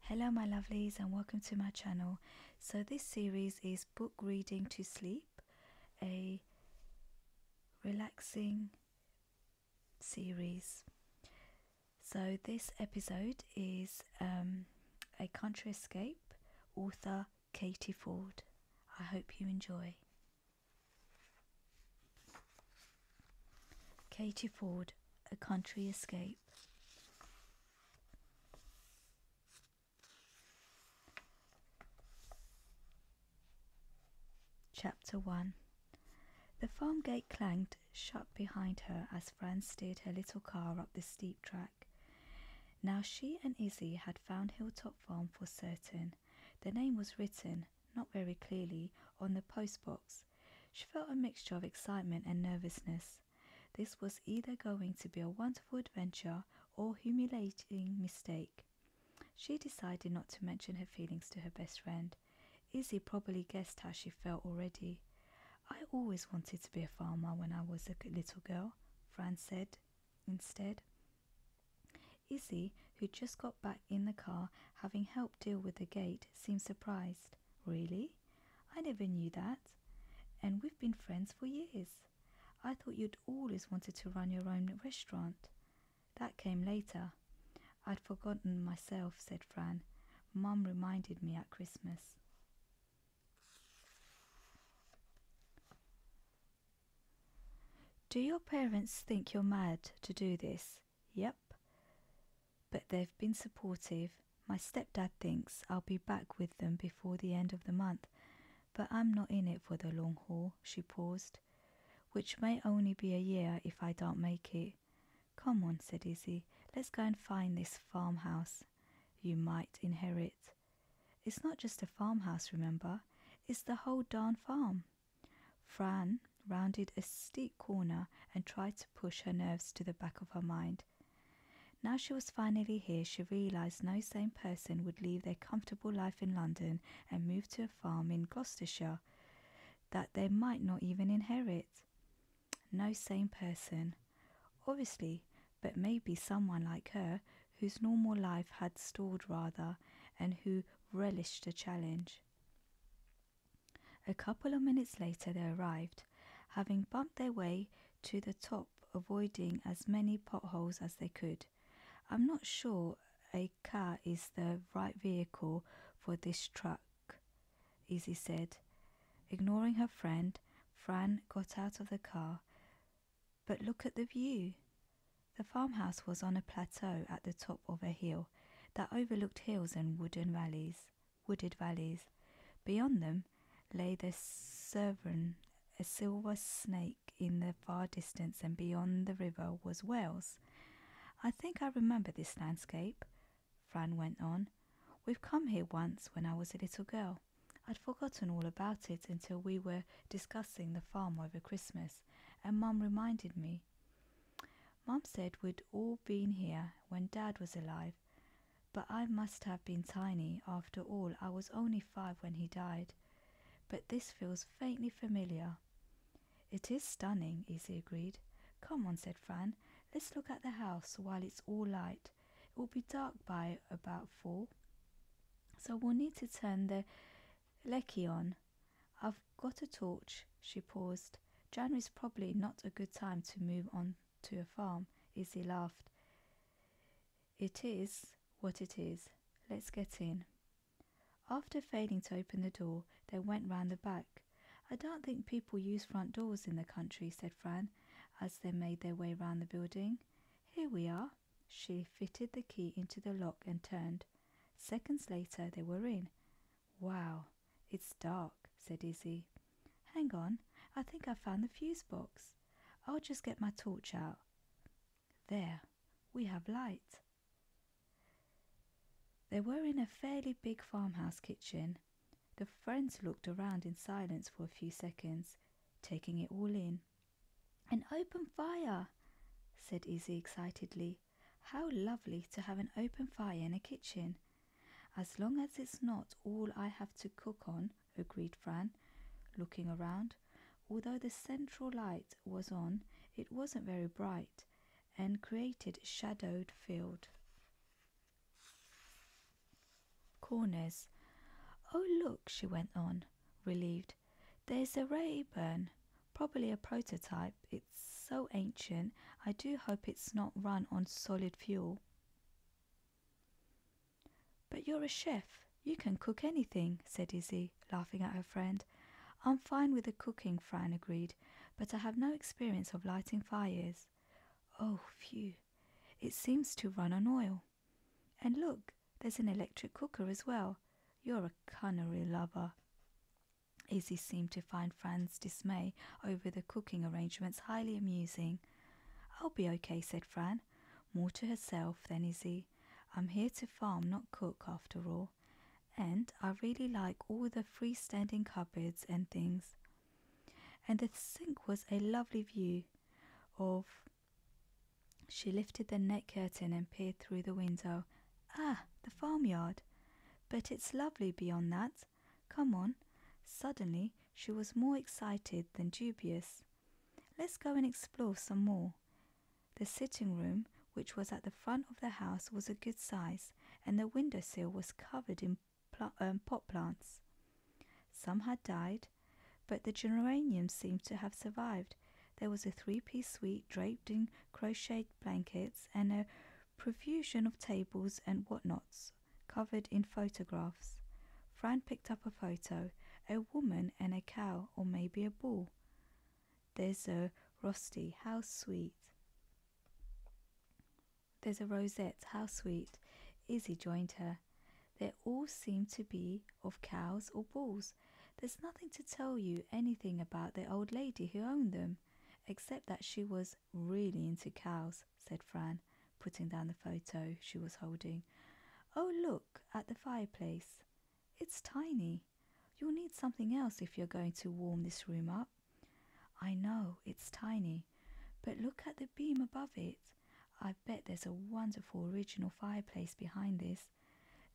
Hello my lovelies and welcome to my channel. So this series is book reading to sleep, a relaxing series. So this episode is um, a country escape, author Katie Ford. I hope you enjoy. Katie Ford, A Country Escape. Chapter 1 The farm gate clanged shut behind her as Fran steered her little car up the steep track. Now she and Izzy had found Hilltop Farm for certain. The name was written, not very clearly, on the postbox she felt a mixture of excitement and nervousness. This was either going to be a wonderful adventure or humiliating mistake. She decided not to mention her feelings to her best friend. Izzy probably guessed how she felt already. I always wanted to be a farmer when I was a little girl, Franz said instead. Izzy, who just got back in the car, having helped deal with the gate, seemed surprised. Really? I never knew that. And we've been friends for years. I thought you'd always wanted to run your own restaurant. That came later. I'd forgotten myself, said Fran. Mum reminded me at Christmas. Do your parents think you're mad to do this? Yep. But they've been supportive. My stepdad thinks I'll be back with them before the end of the month, but I'm not in it for the long haul, she paused, which may only be a year if I don't make it. Come on, said Izzy, let's go and find this farmhouse you might inherit. It's not just a farmhouse, remember, it's the whole darn farm. Fran rounded a steep corner and tried to push her nerves to the back of her mind. Now she was finally here, she realized no sane person would leave their comfortable life in London and move to a farm in Gloucestershire that they might not even inherit. No sane person, obviously, but maybe someone like her whose normal life had stalled rather and who relished a challenge. A couple of minutes later they arrived, having bumped their way to the top, avoiding as many potholes as they could. I'm not sure a car is the right vehicle for this truck, Izzy said. Ignoring her friend, Fran got out of the car. But look at the view. The farmhouse was on a plateau at the top of a hill that overlooked hills and wooded valleys wooded valleys. Beyond them lay the Severn, a silver snake in the far distance, and beyond the river was Wales. I think I remember this landscape, Fran went on. We've come here once when I was a little girl. I'd forgotten all about it until we were discussing the farm over Christmas, and Mum reminded me family. Mum said we'd all been here when Dad was alive, but I must have been tiny after all. I was only five when he died, but this feels faintly familiar. It is stunning, Izzy agreed. Come on, said Fran, let's look at the house while it's all light. It will be dark by about four, so we'll need to turn the lecky on. I've got a torch, she paused. January's probably not a good time to move on to a farm, Izzy laughed. It is what it is. Let's get in. After failing to open the door, they went round the back. I don't think people use front doors in the country, said Fran, as they made their way round the building. Here we are. She fitted the key into the lock and turned. Seconds later, they were in. Wow, it's dark, said Izzy. Hang on, I think I found the fuse box. I'll just get my torch out. There, we have light. They were in a fairly big farmhouse kitchen. The friends looked around in silence for a few seconds, taking it all in. An open fire, said Izzy excitedly. How lovely to have an open fire in a kitchen. As long as it's not all I have to cook on, agreed Fran, looking around. Although the central light was on, it wasn't very bright and created shadowed field. Corners. Oh, look, she went on, relieved. There's a Rayburn, probably a prototype. It it's so ancient, I do hope it's not run on solid fuel. But you're a chef. You can cook anything, said Izzy, laughing at her friend. I'm fine with the cooking, Fran agreed, but I have no experience of lighting fires. Oh, phew. It seems to run on oil. And look, there's an electric cooker as well. You're a culinary lover. Izzy seemed to find Fran's dismay over the cooking arrangements highly amusing. I'll be okay, said Fran, more to herself than Izzy. I'm here to farm, not cook, after all. And I really like all the freestanding cupboards and things. And the sink was a lovely view of. She lifted the net curtain and peered through the window. Ah, the farmyard. But it's lovely beyond that. Come on. Suddenly she was more excited than dubious. Let's go and explore some more. The sitting room, which was at the front of the house, was a good size, and the window sill was covered in um, pot plants. Some had died, but the geraniums seemed to have survived. There was a three piece suite draped in crocheted blankets and a profusion of tables and whatnots covered in photographs. Fran picked up a photo, a woman and a cow, or maybe a bull. There's a rusty. how sweet. There's a Rosette, how sweet. Izzy joined her. They all seem to be of cows or bulls. There's nothing to tell you anything about the old lady who owned them, except that she was really into cows, said Fran, putting down the photo she was holding. Oh, look at the fireplace. It's tiny. You'll need something else if you're going to warm this room up. I know, it's tiny, but look at the beam above it. I bet there's a wonderful original fireplace behind this.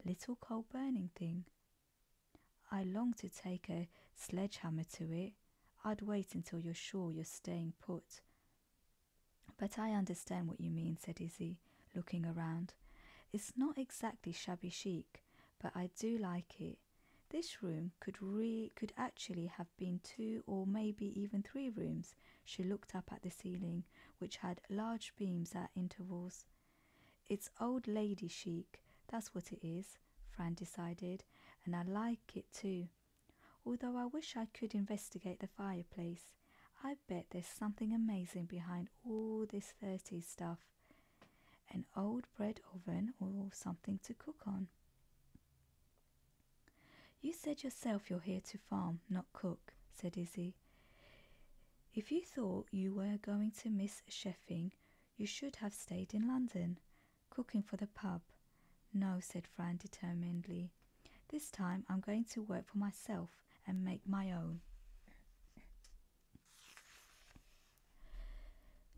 Little coal burning thing. I long to take a sledgehammer to it. I'd wait until you're sure you're staying put. But I understand what you mean, said Izzy, looking around. It's not exactly shabby chic, but I do like it. This room could re- could actually have been two or maybe even three rooms. She looked up at the ceiling, which had large beams at intervals. It's old lady chic, that's what it is. Fran decided, and I like it too. Although I wish I could investigate the fireplace, I bet there's something amazing behind all this 30 stuff. An old bread oven or something to cook on. You said yourself you're here to farm, not cook, said Izzy. If you thought you were going to miss sheffing, you should have stayed in London. Cooking for the pub. No, said Frank determinedly. This time I'm going to work for myself and make my own.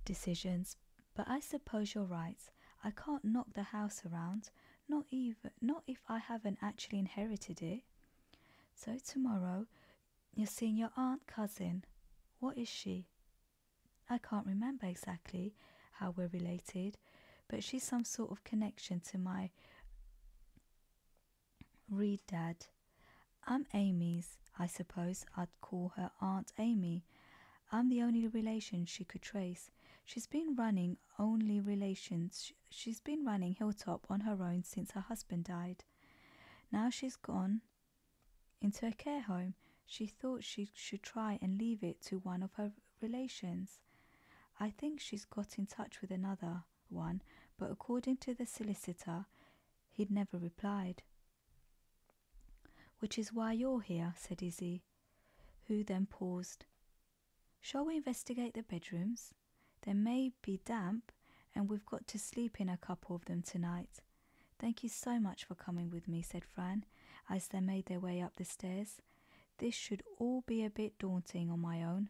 Decisions. But I suppose you're right. I can't knock the house around, not even not if I haven't actually inherited it. So tomorrow you're seeing your aunt cousin. What is she? I can't remember exactly how we're related, but she's some sort of connection to my Reed dad. I'm Amy's, I suppose I'd call her Aunt Amy. I'm the only relation she could trace. She's been running only relations. She's been running Hilltop on her own since her husband died. Now she's gone, into a care home. She thought she should try and leave it to one of her relations. I think she's got in touch with another one, but according to the solicitor, he'd never replied. Which is why you're here, said Izzy, who then paused. Shall we investigate the bedrooms? They may be damp, and we've got to sleep in a couple of them tonight. Thank you so much for coming with me, said Fran, as they made their way up the stairs. This should all be a bit daunting on my own.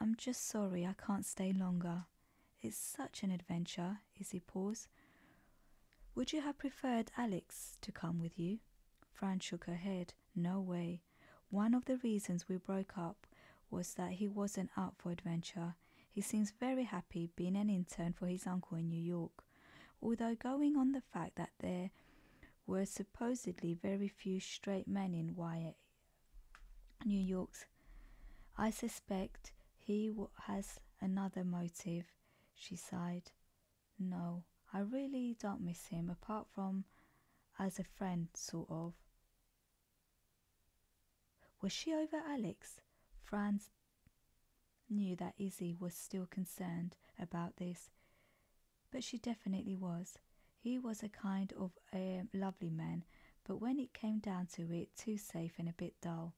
I'm just sorry I can't stay longer. It's such an adventure, Izzy pause. Would you have preferred Alex to come with you? Fran shook her head. No way. One of the reasons we broke up was that he wasn't up for adventure he seems very happy being an intern for his uncle in New York, although going on the fact that there were supposedly very few straight men in Wyatt, New York's. I suspect he has another motive, she sighed. No, I really don't miss him apart from as a friend, sort of. Was she over Alex? Franz knew that Izzy was still concerned about this, but she definitely was. He was a kind of um, lovely man, but when it came down to it, too safe and a bit dull.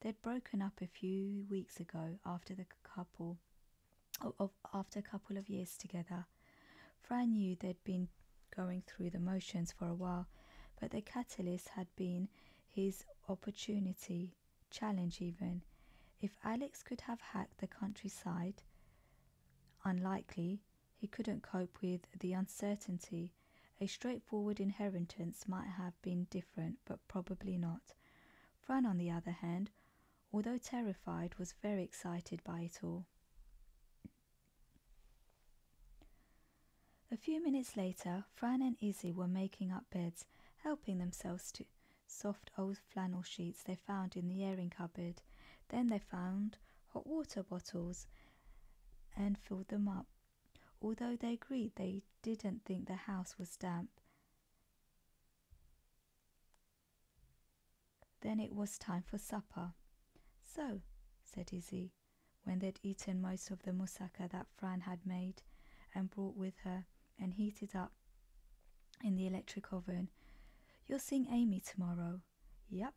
They'd broken up a few weeks ago after the couple after a couple of years together. Fran knew they'd been going through the motions for a while, but the catalyst had been his opportunity, challenge even. If Alex could have hacked the countryside, unlikely, he couldn't cope with the uncertainty. A straightforward inheritance might have been different, but probably not. Fran, on the other hand, although terrified, was very excited by it all. A few minutes later, Fran and Izzy were making up beds, helping themselves to soft old flannel sheets they found in the airing cupboard. Then they found hot water bottles and filled them up. Although they agreed they didn't think the house was damp, Then it was time for supper. So, said Izzy, when they'd eaten most of the moussaka that Fran had made and brought with her and heated up in the electric oven. You're seeing Amy tomorrow. Yep,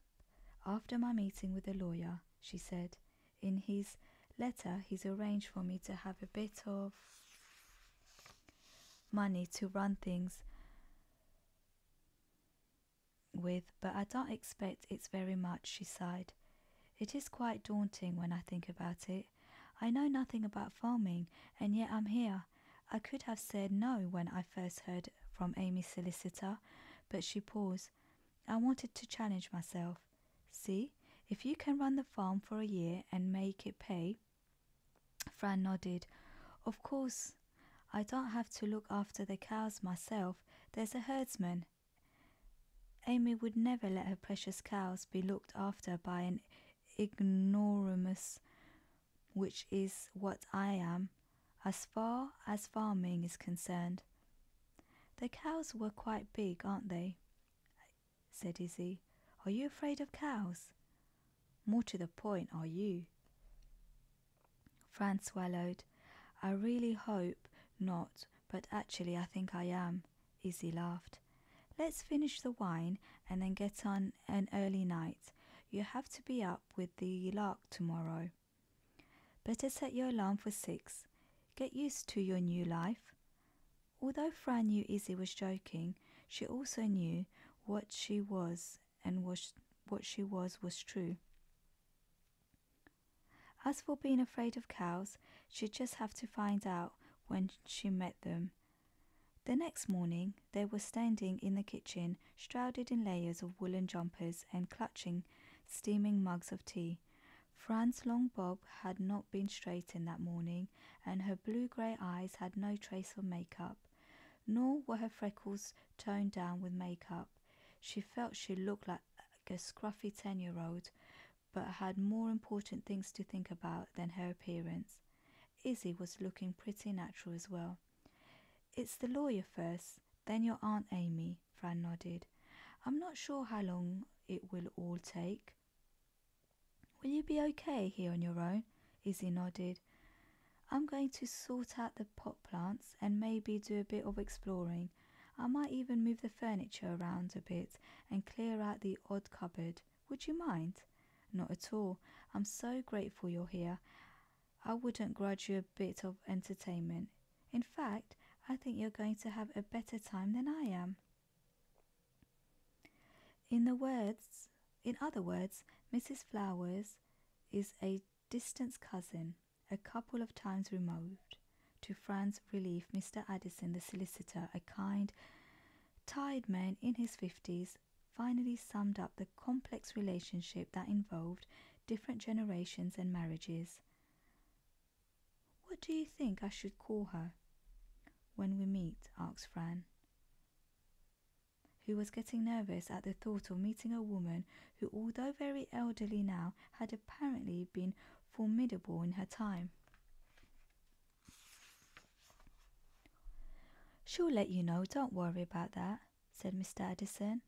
after my meeting with the lawyer, she said. In his letter, he's arranged for me to have a bit of money to run things with, but I don't expect it's very much, she sighed. It is quite daunting when I think about it. I know nothing about farming, and yet I'm here. I could have said no when I first heard from Amy's solicitor, but she paused. I wanted to challenge myself. See, if you can run the farm for a year and make it pay. Fran nodded. Of course, I don't have to look after the cows myself. There's a herdsman Amy would never let her precious cows be looked after by an ignoramus, which is what I am, as far as farming is concerned. The cows were quite big, aren't they? said Izzy. Are you afraid of cows? More to the point, are you? Fran swallowed. I really hope not, but actually I think I am. Izzy laughed. Let's finish the wine and then get on an early night. You have to be up with the lark tomorrow. Better set your alarm for six. Get used to your new life. Although Fran knew Izzy was joking, she also knew what she was and was, what she was was true. As for being afraid of cows, she'd just have to find out when she met them. The next morning, they were standing in the kitchen, shrouded in layers of woolen jumpers and clutching steaming mugs of tea. Fran's long bob had not been straightened that morning, and her blue grey eyes had no trace of makeup, nor were her freckles toned down with makeup. She felt she looked like a scruffy 10 year old, but had more important things to think about than her appearance. Izzy was looking pretty natural as well. It's the lawyer first, then your Aunt Amy, Fran nodded. I'm not sure how long it will all take. Will you be okay here on your own? Izzy nodded. I'm going to sort out the pot plants and maybe do a bit of exploring. I might even move the furniture around a bit and clear out the odd cupboard. Would you mind? Not at all. I'm so grateful you're here. I wouldn't grudge you a bit of entertainment. In fact, I think you're going to have a better time than I am. In the words, in other words, Mrs. Flowers is a distant cousin a couple of times removed, to Fran's relief, Mr. Addison, the solicitor, a kind, tired man in his fifties, finally summed up the complex relationship that involved different generations and marriages. What do you think I should call her? When we meet, asked Fran, who was getting nervous at the thought of meeting a woman who, although very elderly now, had apparently been formidable in her time. She'll let you know, don't worry about that, said Mr. Addison.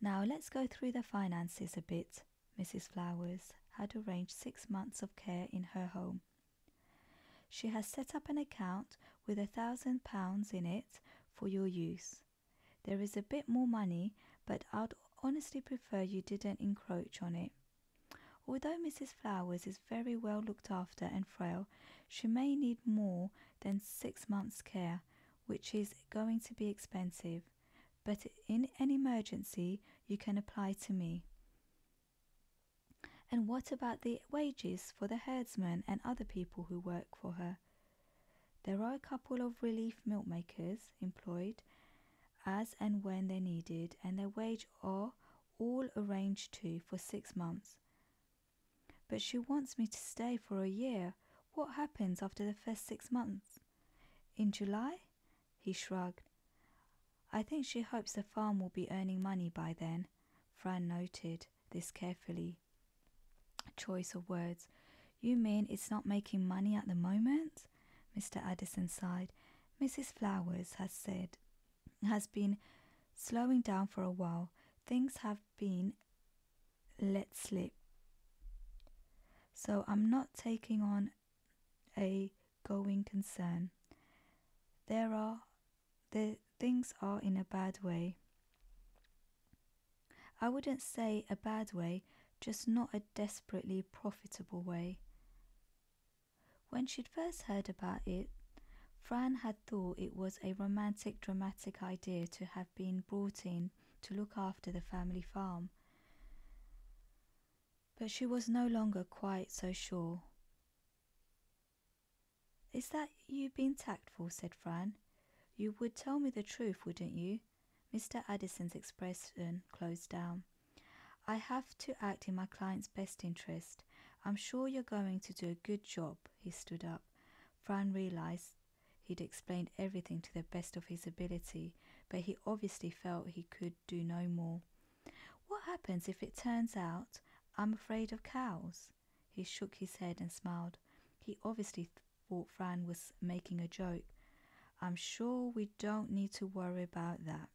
Now let's go through the finances a bit. Mrs. Flowers had arranged six months of care in her home. She has set up an account with a thousand pounds in it for your use. There is a bit more money, but I'd honestly prefer you didn't encroach on it. Although Mrs. Flowers is very well looked after and frail, she may need more than six months' care, which is going to be expensive. But in an emergency, you can apply to me. And what about the wages for the herdsman and other people who work for her? There are a couple of relief milk makers employed as and when they're needed, and their wage are all arranged to for six months. But she wants me to stay for a year. What happens after the first six months? In July? He shrugged. I think she hopes the farm will be earning money by then. Fran noted this carefully choice of words. You mean it's not making money at the moment? Mr. Addison sighed. Mrs. Flowers has said, has been slowing down for a while. Things have been let slip. So I'm not taking on a going concern. There are the things are in a bad way. I wouldn't say a bad way, just not a desperately profitable way. When she'd first heard about it, Fran had thought it was a romantic, dramatic idea to have been brought in to look after the family farm. But she was no longer quite so sure. Is that you being tactful? said Fran. You would tell me the truth, wouldn't you? Mr. Addison's expression closed down. I have to act in my client's best interest. I'm sure you're going to do a good job. He stood up. Fran realized he'd explained everything to the best of his ability, but he obviously felt he could do no more. What happens if it turns out I'm afraid of cows? He shook his head and smiled. He obviously thought Fran was making a joke. I'm sure we don't need to worry about that.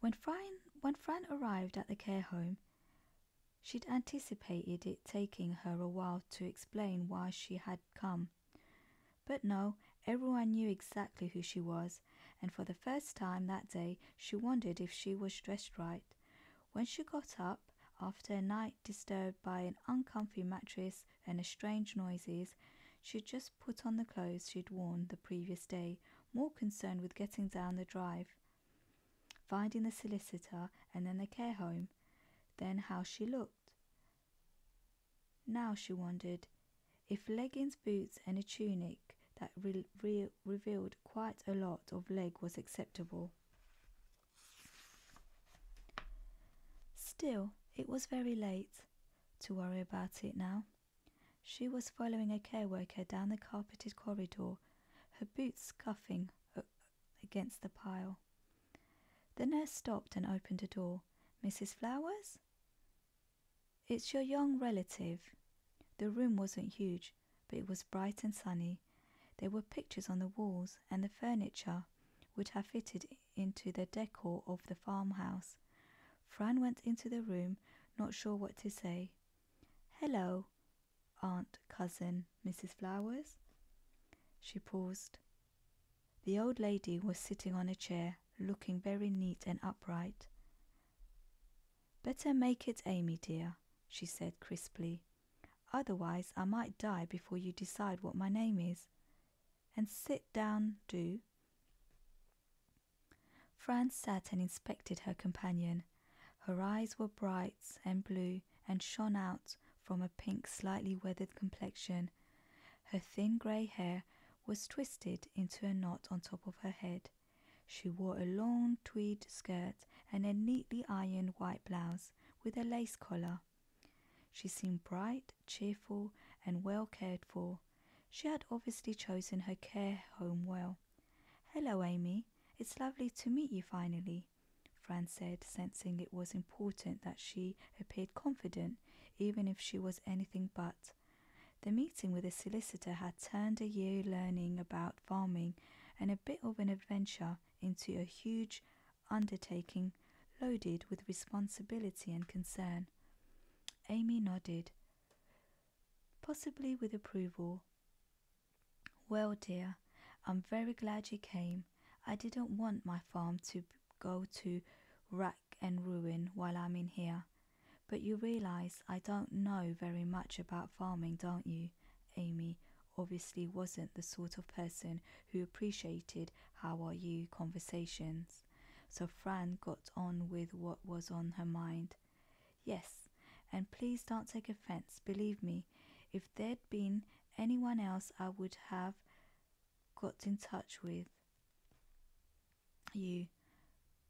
When Fran, arrived at the care home, she'd anticipated it taking her a while to explain why she had come. But no, everyone knew exactly who she was, and for the first time that day she wondered if she was dressed right. When she got up, after a night disturbed by an uncomfortable mattress and strange noises, she had just put on the clothes she would worn the previous day, more concerned with getting down the drive, finding the solicitor and then the care home, then how she looked. Now she wondered if leggings, boots, and a tunic that real revealed quite a lot of leg was acceptable. Still, it was very late to worry about it now. She was following a care worker down the carpeted corridor, her boots scuffing uh, against the pile. The nurse stopped and opened a door. Mrs. Flowers? It's your young relative. The room wasn't huge, but it was bright and sunny. There were pictures on the walls, and the furniture would have fitted into the decor of the farmhouse. Fran went into the room, not sure what to say. Hello, aunt, cousin, Mrs. Flowers? She paused. The old lady was sitting on a chair, looking very neat and upright. Better make it Amy, dear, she said crisply. Otherwise, I might die before you decide what my name is. And sit down, do. Franz sat and inspected her companion. Her eyes were bright and blue and shone out from a pink, slightly weathered complexion. Her thin grey hair was twisted into a knot on top of her head. She wore a long tweed skirt and a neatly ironed white blouse with a lace collar. She seemed bright, cheerful, and well cared for. She had obviously chosen her care home well. Hello, Amy. It's lovely to meet you finally, Fran said, sensing it was important that she appeared confident, even if she was anything but. The meeting with the solicitor had turned a year learning about farming and a bit of an adventure into a huge undertaking loaded with responsibility and concern. Amy nodded, possibly with approval. Well, dear, I'm very glad you came. I didn't want my farm to go to rack and ruin while I'm in here. But you realize I don't know very much about farming, don't you? Amy obviously wasn't the sort of person who appreciated how are you conversations, so Fran got on with what was on her mind. Yes, and please don't take offense, believe me, if there'd been anyone else I would have got in touch with you,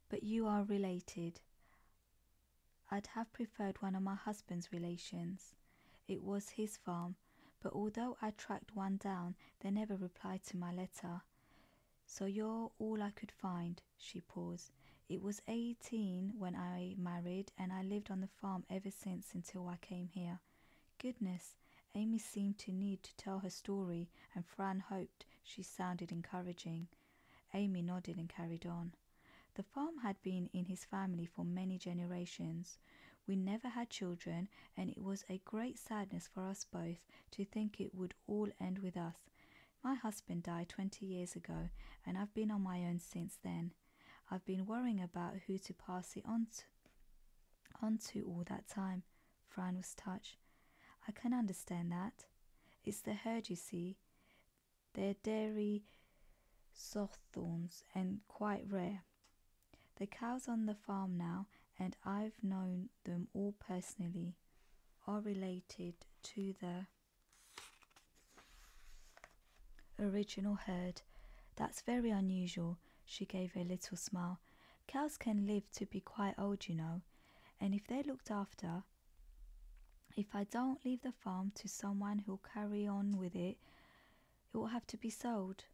but you are related. I'd have preferred one of my husband's relations. It was his farm, but although I tracked one down, they never replied to my letter. So you're all I could find, she paused. It was 18 when I married, and I lived on the farm ever since until I came here. Goodness, Amy seemed to need to tell her story, and Fran hoped she sounded encouraging. Amy nodded and carried on. The farm had been in his family for many generations. We never had children, and it was a great sadness for us both to think it would all end with us. My husband died 20 years ago, and I've been on my own since then. I've been worrying about who to pass it on to, on to all that time. Fran was touched. I can understand that. It's the herd, you see. They're dairy soft thorns and quite rare. The cows on the farm now, and I've known them all personally, are related to the original herd. That's very unusual. She gave a little smile. Cows can live to be quite old, you know, and if they're looked after, if I don't leave the farm to someone who'll carry on with it, it will have to be sold.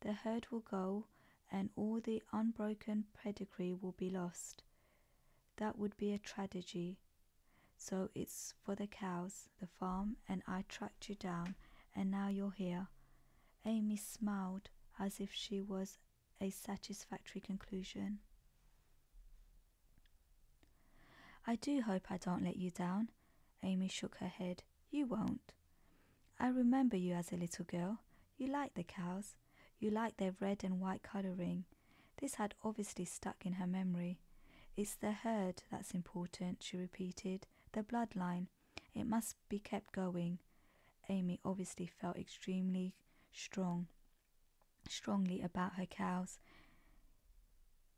The herd will go, and all the unbroken pedigree will be lost. That would be a tragedy. So it's for the cows, the farm, and I tracked you down, and now you're here. Amy smiled as if she was a satisfactory conclusion. I do hope I don't let you down. Amy shook her head. You won't. I remember you as a little girl. You liked the cows. You liked their red and white colouring. This had obviously stuck in her memory. It's the herd that's important, she repeated. The bloodline. It must be kept going. Amy obviously felt extremely strong strongly about her cows,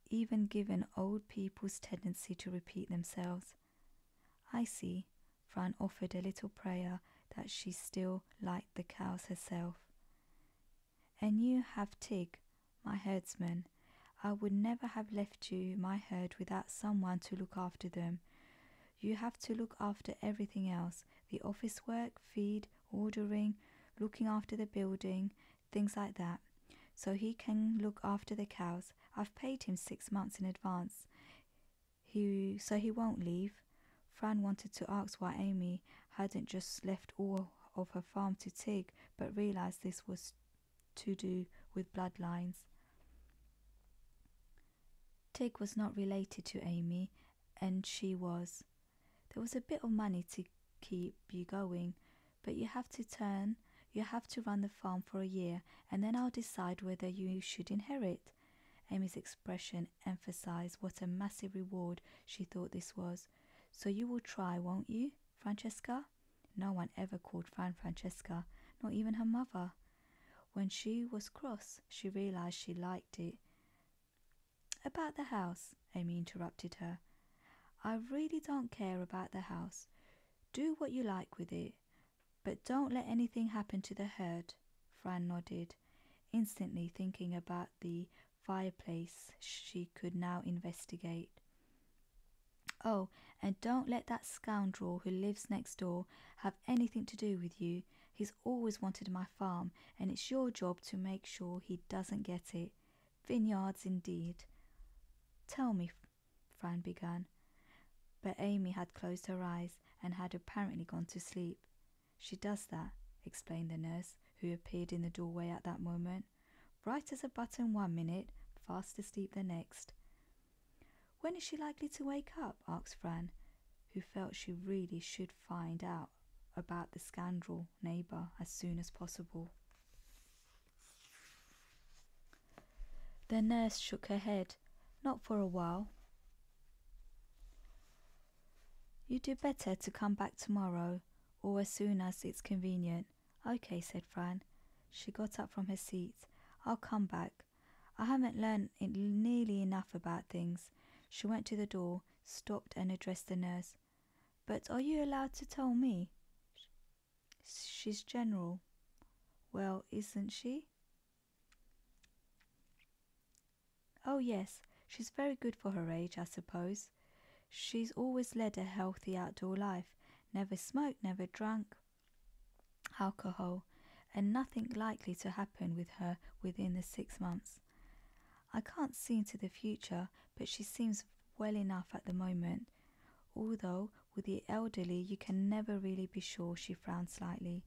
even given old people's tendency to repeat themselves. I see, Fran offered a little prayer that she still liked the cows herself. And you have Tig, my herdsman. I would never have left you, my herd, without someone to look after them. You have to look after everything else the office work, feed, ordering, looking after the building, things like that. So he can look after the cows. I've paid him six months in advance. He so he won't leave. Fran wanted to ask why Amy hadn't just left all of her farm to Tig, but realized this was to do with bloodlines. Tig was not related to Amy, and she was. There was a bit of money to keep you going, but you have to turn, you have to run the farm for a year, and then I'll decide whether you should inherit. Amy's expression emphasized what a massive reward she thought this was. So you will try, won't you, Francesca? No one ever called Fran Francesca, not even her mother. When she was cross, she realized she liked it. About the house, Amy interrupted her. I really don't care about the house. Do what you like with it, but don't let anything happen to the herd. Fran nodded, instantly thinking about the fireplace she could now investigate. Oh, and don't let that scoundrel who lives next door have anything to do with you. He's always wanted my farm, and it's your job to make sure he doesn't get it. Vineyards indeed! Tell me, Fran began, but Amy had closed her eyes and had apparently gone to sleep. She does that, explained the nurse, who appeared in the doorway at that moment, bright as a button one minute, fast asleep the next. When is she likely to wake up? asked Fran, who felt she really should find out about the scoundrel neighbour as soon as possible. The nurse shook her head. Not for a while. You would do better to come back tomorrow, or as soon as it's convenient. Okay, said Fran. She got up from her seat. I'll come back. I haven't learnt nearly enough about things. She went to the door, stopped, and addressed the nurse. But are you allowed to tell me? She's general. Well, isn't she? Oh, yes, she's very good for her age, I suppose. She's always led a healthy outdoor life, never smoked, never drank alcohol, and nothing likely to happen with her within the six months. I can't see into the future, but she seems well enough at the moment. Although, with the elderly, you can never really be sure, she frowned slightly.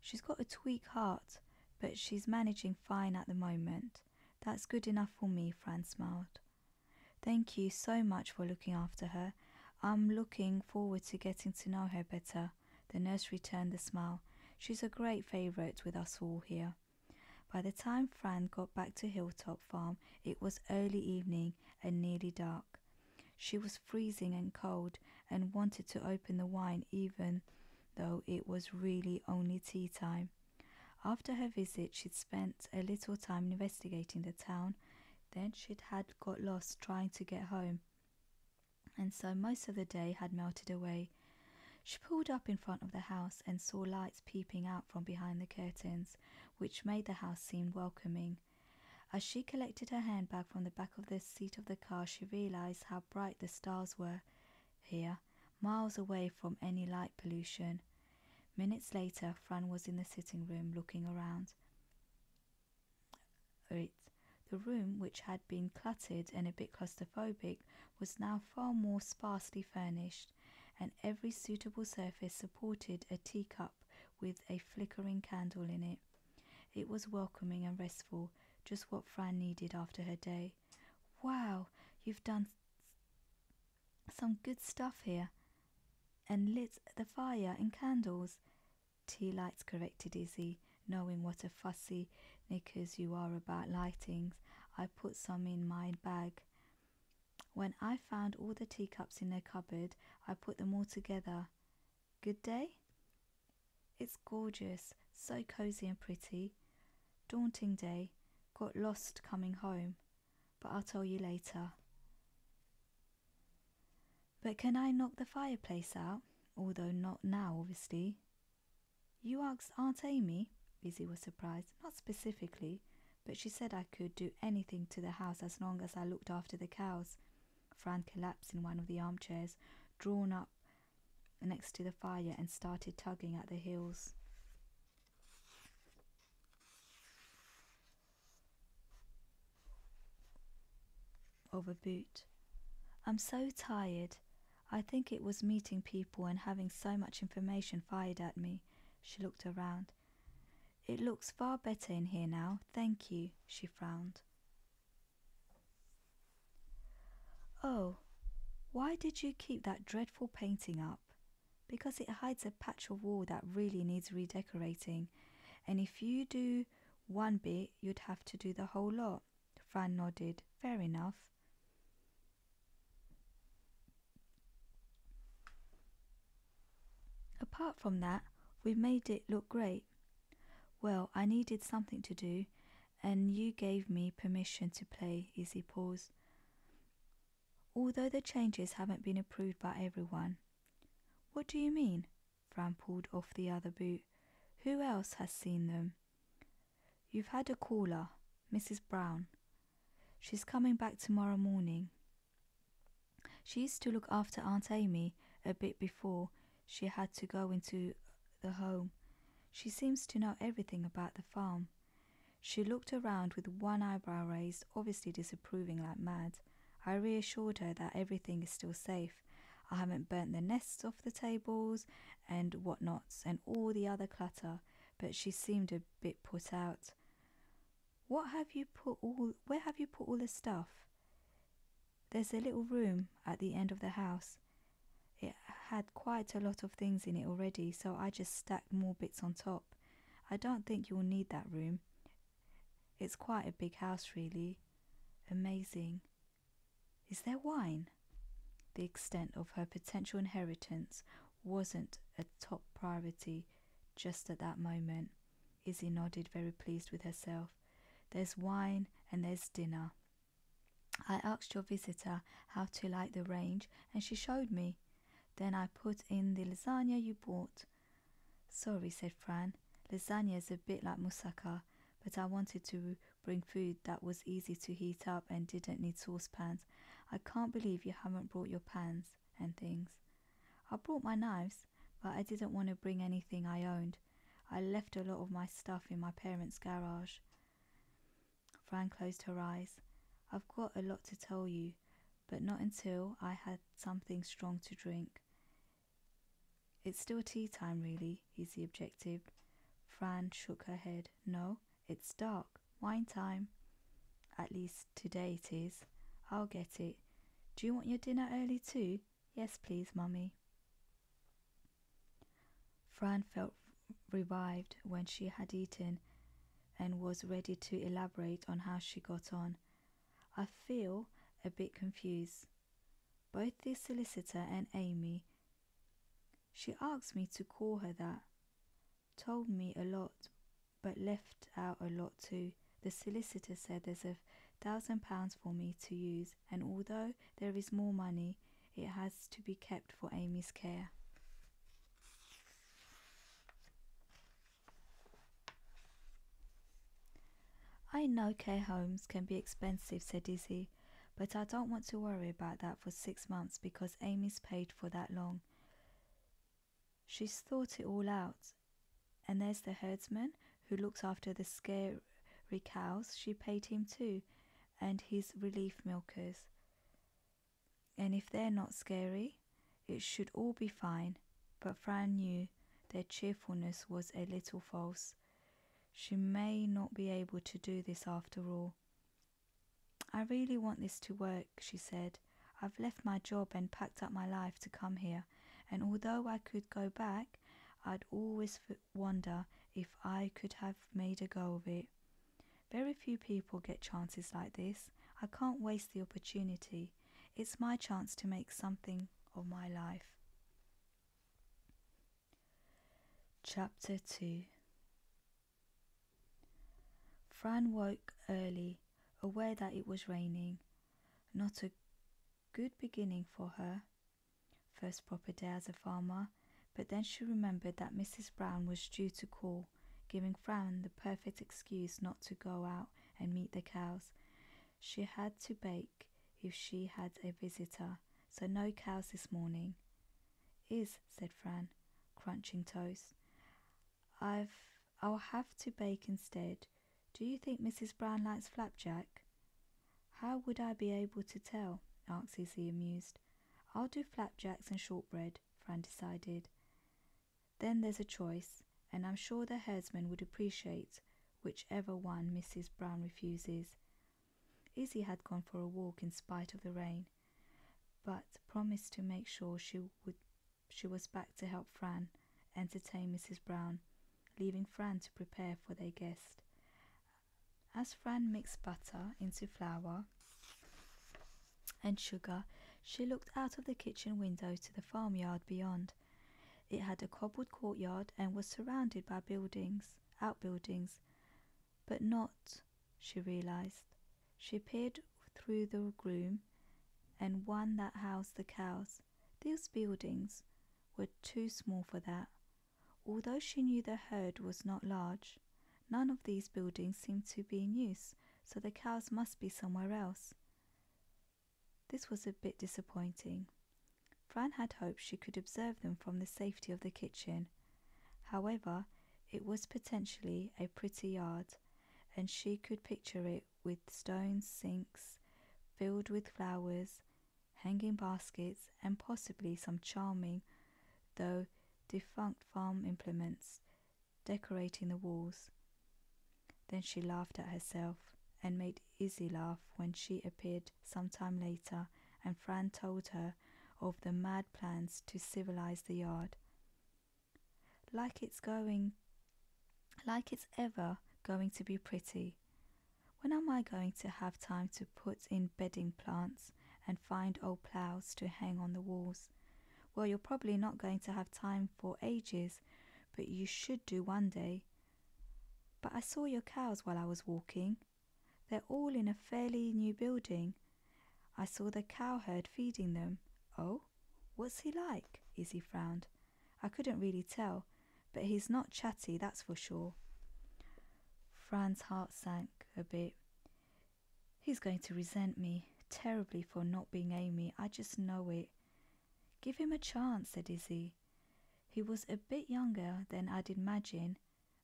She's got a tweak heart, but she's managing fine at the moment. That's good enough for me, Fran smiled. Thank you so much for looking after her. I'm looking forward to getting to know her better. The nurse returned the smile. She's a great favourite with us all here. By the time Fran got back to Hilltop Farm, it was early evening and nearly dark. She was freezing and cold and wanted to open the wine even though it was really only tea time. After her visit, she'd spent a little time investigating the town, then she'd had got lost trying to get home. And so most of the day had melted away she pulled up in front of the house and saw lights peeping out from behind the curtains, which made the house seem welcoming. As she collected her handbag from the back of the seat of the car, she realized how bright the stars were here, miles away from any light pollution. Minutes later, Fran was in the sitting room looking around. It, the room, which had been cluttered and a bit claustrophobic, was now far more sparsely furnished, and every suitable surface supported a teacup with a flickering candle in it. It was welcoming and restful, just what Fran needed after her day. Wow, you've done some good stuff here. And lit the fire and candles. Tea lights, corrected Izzy, knowing what a fussy because you are about lightings. I put some in my bag. When I found all the teacups in the cupboard, I put them all together. Good day? It's gorgeous, so cozy and pretty. Daunting day, got lost coming home, but I'll tell you later. But can I knock the fireplace out? Although not now, obviously. You asked Aunt Amy? Lizzie was surprised. Not specifically, but she said I could do anything to the house as long as I looked after the cows. Frank collapsed in one of the armchairs, drawn up next to the fire, and started tugging at the heels. Of a boot. I'm so tired. I think it was meeting people and having so much information fired at me. She looked around. It looks far better in here now, thank you, she frowned. Oh, why did you keep that dreadful painting up? Because it hides a patch of wall that really needs redecorating, and if you do one bit, you'd have to do the whole lot. Fran nodded. Fair enough. Apart from that, we made it look great. Well, I needed something to do, and you gave me permission to play Easy Pause. Although the changes haven't been approved by everyone. What do you mean? Fran pulled off the other boot. Who else has seen them? You've had a caller, Mrs. Brown. She's coming back tomorrow morning. She used to look after Aunt Amy a bit before she had to go into the home. She seems to know everything about the farm. She looked around with one eyebrow raised, obviously disapproving like mad. I reassured her that everything is still safe. I haven't burnt the nests off the tables and whatnots and all the other clutter but she seemed a bit put out. What have you put all where have you put all the stuff? There's a little room at the end of the house. It had quite a lot of things in it already, so I just stacked more bits on top. I don't think you'll need that room. It's quite a big house, really. Amazing. Is there wine? The extent of her potential inheritance wasn't a top priority just at that moment. Izzy nodded, very pleased with herself. There's wine and there's dinner. I asked your visitor how to light the range, and she showed me. Then I put in the lasagna you bought. Sorry, said Fran. Lasagna is a bit like moussaka, but I wanted to bring food that was easy to heat up and didn't need saucepans. I can't believe you haven't brought your pans and things. I brought my knives, but I didn't want to bring anything I owned. I left a lot of my stuff in my parents' garage. Fran closed her eyes. I've got a lot to tell you, but not until I had something strong to drink. It's still tea time, really, is the objective. Fran shook her head. No, it's dark. Wine time. At least today it is. I'll get it. Do you want your dinner early too? Yes, please, Mummy. Fran felt revived when she had eaten and was ready to elaborate on how she got on. I feel a bit confused. Both the solicitor and Amy she asked me to call her that, told me a lot, but left out a lot too. The solicitor said there's a thousand pounds for me to use, and although there is more money, it has to be kept for Amy's care. I know care homes can be expensive, said Izzy but I don't want to worry about that for six months because Amy's paid for that long. She's thought it all out. And there's the herdsman who looks after the scary cows, she paid him too, and his relief milkers. And if they're not scary, it should all be fine, but Fran knew their cheerfulness was a little false. She may not be able to do this after all. I really want this to work, she said. I've left my job and packed up my life to come here, and although I could go back, I'd always wonder if I could have made a go of it. Very few people get chances like this. I can't waste the opportunity. It's my chance to make something of my life. Chapter 2 Fran woke early, aware that it was raining. Not a good beginning for her, first proper day as a farmer, but then she remembered that Mrs. Brown was due to call, giving Fran the perfect excuse not to go out and meet the cows. She had to bake if she had a visitor, so no cows this morning. Is, said Fran, crunching toast. I've I'll have to bake instead. Do you think Mrs. Brown likes flapjack? How would I be able to tell? asked Izzy, amused. I'll do flapjacks and shortbread, Fran decided. Then there's a choice, and I'm sure the herdsman would appreciate whichever one Mrs. Brown refuses. Izzy had gone for a walk in spite of the rain, but promised to make sure she would she was back to help Fran entertain Mrs. Brown, leaving Fran to prepare for their guest. As Fran mixed butter into flour and sugar, she looked out of the kitchen window to the farmyard beyond. It had a cobbled courtyard and was surrounded by buildings, outbuildings, but not she realized. She peered through the gloom and one that housed the cows. These buildings were too small for that. Although she knew the herd was not large, none of these buildings seemed to be in use, so the cows must be somewhere else. This was a bit disappointing. Fran had hoped she could observe them from the safety of the kitchen, However, it was potentially a pretty yard, and she could picture it with stone sinks filled with flowers, hanging baskets, and possibly some charming, though defunct farm implements decorating the walls. Then she laughed at herself and made Izzy laugh when she appeared some time later and Fran told her terror of the mad plans to civilize the yard. Like it's going, like it's ever going to be pretty. When am I going to have time to put in bedding plants and find old ploughs to hang on the walls? Well, you're probably not going to have time for ages, but you should do one day. But I saw your cows while I was walking. They're all in a fairly new building. I saw the cowherd feeding them. Oh, what's he like? Izzy frowned. I couldn't really tell, but he's not chatty, that's for sure. Fran's heart sank a bit. He's going to resent me terribly for not being Amy, I just know it. Give him a chance, said Izzy. He was a bit younger than I'd imagined.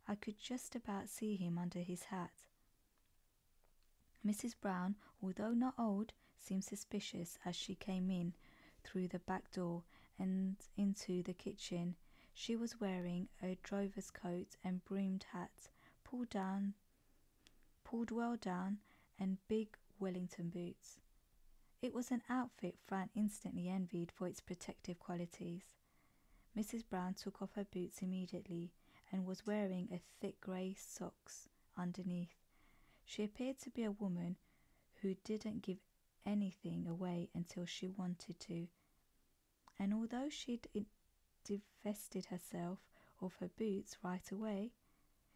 I could just about see him under his hat. Mrs. Brown, although not old, seemed suspicious as she came in through the back door and into the kitchen. She was wearing a driver's coat and brimmed hat, pulled down, pulled well down, and big Wellington boots. It was an outfit Fran instantly envied for its protective qualities. Mrs. Brown took off her boots immediately and was wearing a thick grey socks underneath. She appeared to be a woman who didn't give anything away until she wanted to, and although she'd divested herself of her boots right away,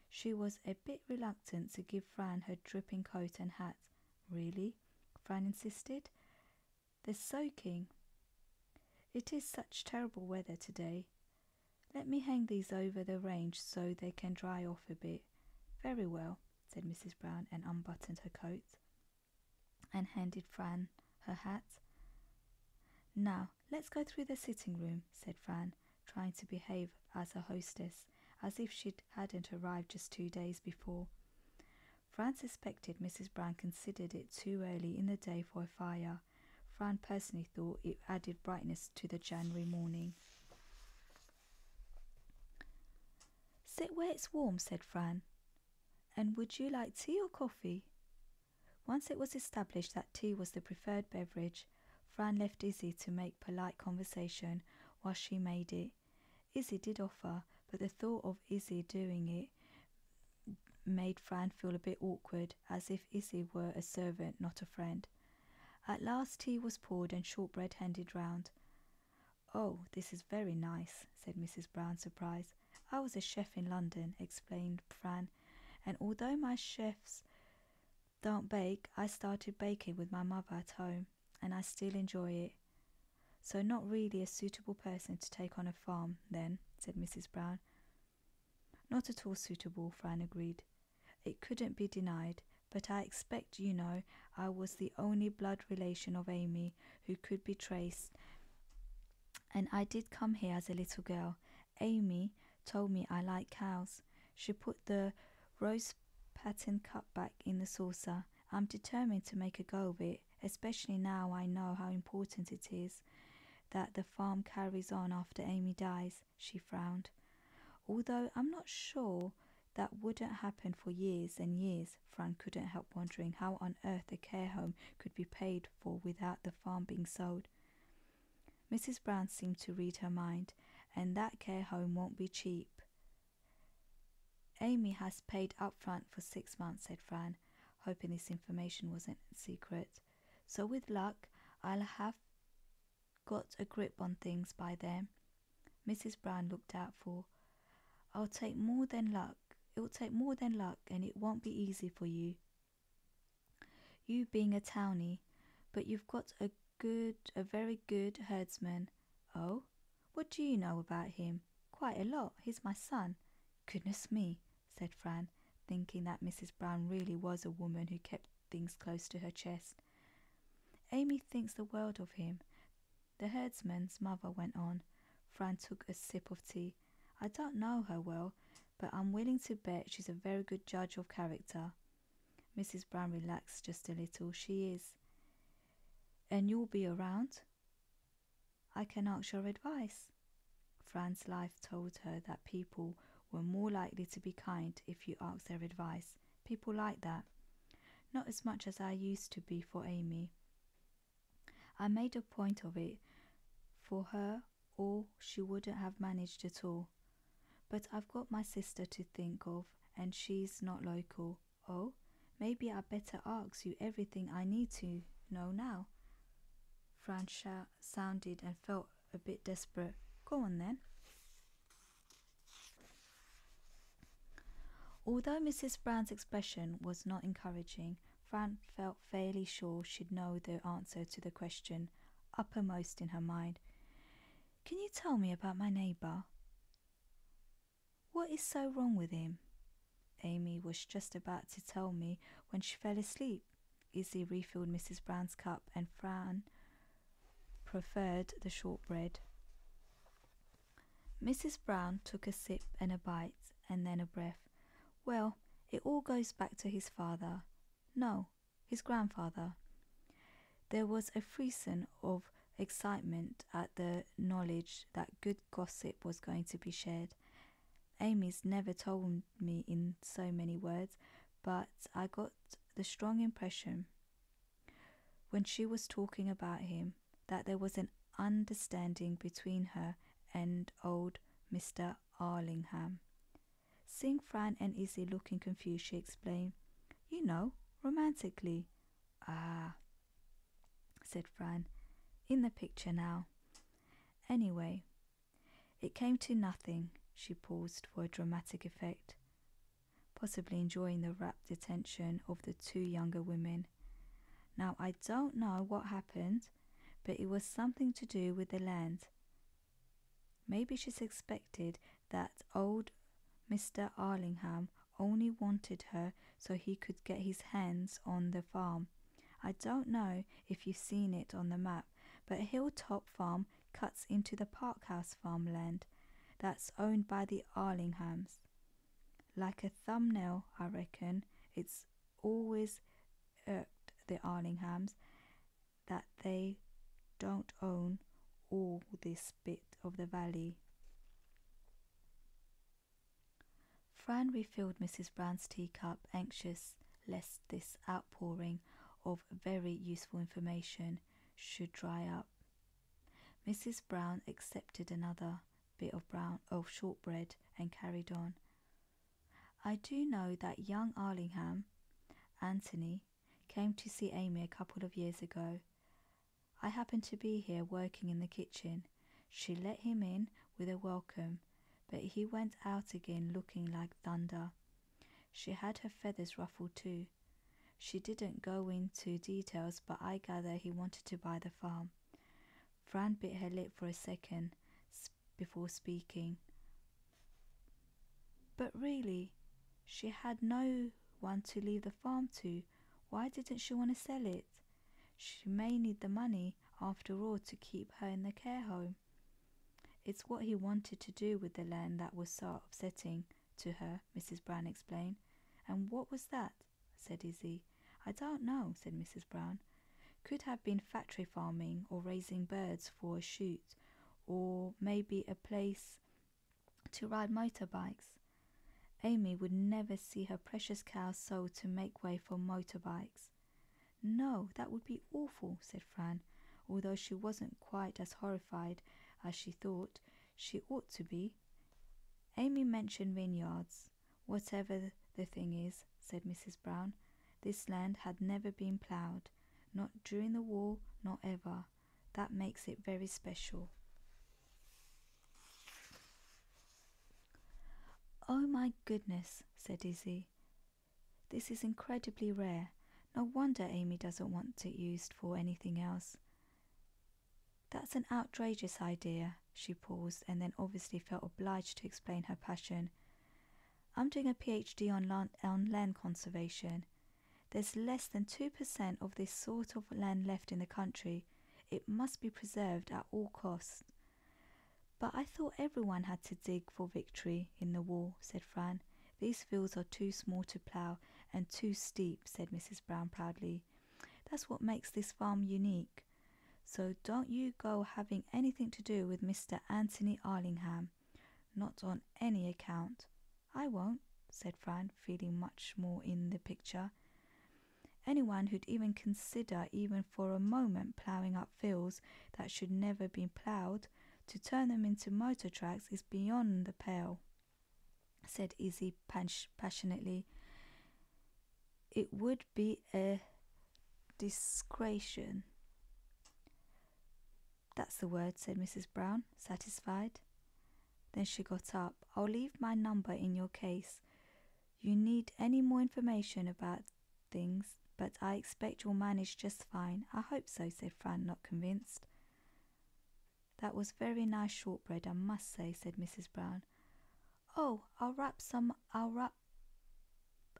she was a bit reluctant to give Fran her dripping coat and hat. Really? Fran insisted. They're soaking. It is such terrible weather today. Let me hang these over the range so they can dry off a bit. Very well, said Mrs. Brown and unbuttoned her coat and handed Fran her hat. Now, let's go through the sitting room, said Fran, trying to behave as a hostess, as if she hadn't arrived just two days before. Fran suspected Mrs. Brown considered it too early in the day for a fire. Fran personally thought it added brightness to the January morning. Sit where it's warm, said Fran. And would you like tea or coffee? Once it was established that tea was the preferred beverage, Fran left Izzy to make polite conversation while she made it. Izzy did offer, but the thought of Izzy doing it made Fran feel a bit awkward, as if Izzy were a servant, not a friend. At last tea was poured and shortbread handed round. Oh, this is very nice, said Mrs. Brown, surprised. I was a chef in London, explained Fran, and although my chefs don't bake, I started baking with my mother at home, and I still enjoy it. So, not really a suitable person to take on a farm, then, said Mrs. Brown. Not at all suitable, Fran agreed. It couldn't be denied, but I expect you know I was the only blood relation of Amy who could be traced, and I did come here as a little girl. Amy told me I liked cows. She put the rose pattern cup back in the saucer I'm determined to make a go of it, especially now I know how important it is that the farm carries on after Amy dies, she frowned. Although I'm not sure that wouldn't happen for years and years, Fran couldn't help wondering how on earth a care home could be paid for without the farm being sold. Mrs. Brown seemed to read her mind, and that care home won't be cheap. Amy has paid up front for six months, said Fran, hoping this information wasn't secret. So, with luck, I'll have got a grip on things by then. Mrs. Brown looked doubtful. I'll take more than luck. It will take more than luck, and it won't be easy for you. You being a townie, but you've got a good, a very good herdsman. Oh? What do you know about him? Quite a lot. He's my son. Goodness me, said Fran, thinking that Mrs. Brown really was a woman who kept things close to her chest. Amy thinks the world of him. The herdsman's mother went on. Fran took a sip of tea. I don't know her well, but I'm willing to bet she's a very good judge of character. Mrs. Brown relaxed just a little. She is. And you'll be around? I can ask your advice. Fran's life told her that people were more likely to be kind if you asked their advice. People like that. Not as much as I used to be for Amy. I made a point of it for her, or she wouldn't have managed at all. But I've got my sister to think of, and she's not local. Oh, Maybe I better ask you everything I need to know now. Francia sounded and felt a bit desperate. Go on then. Although Mrs. Brown's expression was not encouraging, Fran felt fairly sure she'd know the answer to the question uppermost in her mind. Can you tell me about my neighbour? What is so wrong with him? Amy was just about to tell me when she fell asleep. Izzy refilled Mrs. Brown's cup and Fran preferred the shortbread. Mrs. Brown took a sip and a bite and then a breath. Well, it all goes back to his father. No, his grandfather. There was a frisson of excitement at the knowledge that good gossip was going to be shared. Amy's never told me in so many words, but I got the strong impression when she was talking about him that there was an understanding between her and old Mr. Arlingham. Seeing Frank and Izzy looking confused, she explained, You know, romantically. Ah, said Fran. In the picture now. Anyway, it came to nothing. She paused for dramatic effect, possibly enjoying the rapt attention of the two younger women. Now, I don't know what happened, but it was something to do with the land. Maybe she suspected that old Mr. Arlingham only wanted her so he could get his hands on the farm I don't know if you've seen it on the map, but Hilltop Farm cuts into the Parkhouse farmland that's owned by the Arlinghams. Like a thumbnail, I reckon, it's always irked the Arlinghams that they don't own all this bit of the valley. Fran refilled Mrs. Brown's teacup, anxious lest this outpouring of very useful information should dry up. Mrs. Brown accepted another bit of brown of shortbread and carried on. I do know that young Arlingham, Anthony, came to see Amy a couple of years ago. I happened to be here working in the kitchen she let him in with a welcome, but he went out again looking like thunder. She had her feathers ruffled too. She didn't go into details, but I gather he wanted to buy the farm. Fran bit her lip for a second before speaking. But really, she had no one to leave the farm to. Why didn't she want to sell it? She may need the money, after all, to keep her in the care home. It's what he wanted to do with the land that was so upsetting to her, Mrs. Brown explained. And what was that? said Izzy. I don't know, said Mrs. Brown. Could have been factory farming or raising birds for a shoot, or maybe a place to ride motorbikes. Amy would never see her precious cows sold to make way for motorbikes. No, that would be awful, said Fran, although she wasn't quite as horrified as she thought she ought to be. Amy mentioned vineyards. Whatever the thing is, said Mrs. Brown, this land had never been ploughed, not during the war, not ever. That makes it very special. Oh my goodness, said Izzy. This is incredibly rare. No wonder Amy doesn't want it used for anything else. That's an outrageous idea. She paused and then obviously felt obliged to explain her passion. I'm doing a PhD on land, on land conservation. There's less than 2% of this sort of land left in the country. It must be preserved at all costs. But I thought everyone had to dig for victory in the war, said Fran. These fields are too small to plough and too steep, said Mrs. Brown proudly. That's what makes this farm unique. So don't you go having anything to do with Mr. Anthony Arlingham. Not on any account. I won't, said Fran, feeling much more in the picture. Anyone who'd even consider, even for a moment, ploughing up fields that should never be ploughed to turn them into motor tracks is beyond the pale, said Easy Punch passionately. It would be a discretion. That's the word, said Mrs. Brown, satisfied. Then she got up. I'll leave my number in your case you need any more information about things, but I expect you'll manage just fine. I hope so, said Fran, not convinced. That was very nice shortbread, I must say, said Mrs. Brown. Oh, I'll wrap some, I'll wrap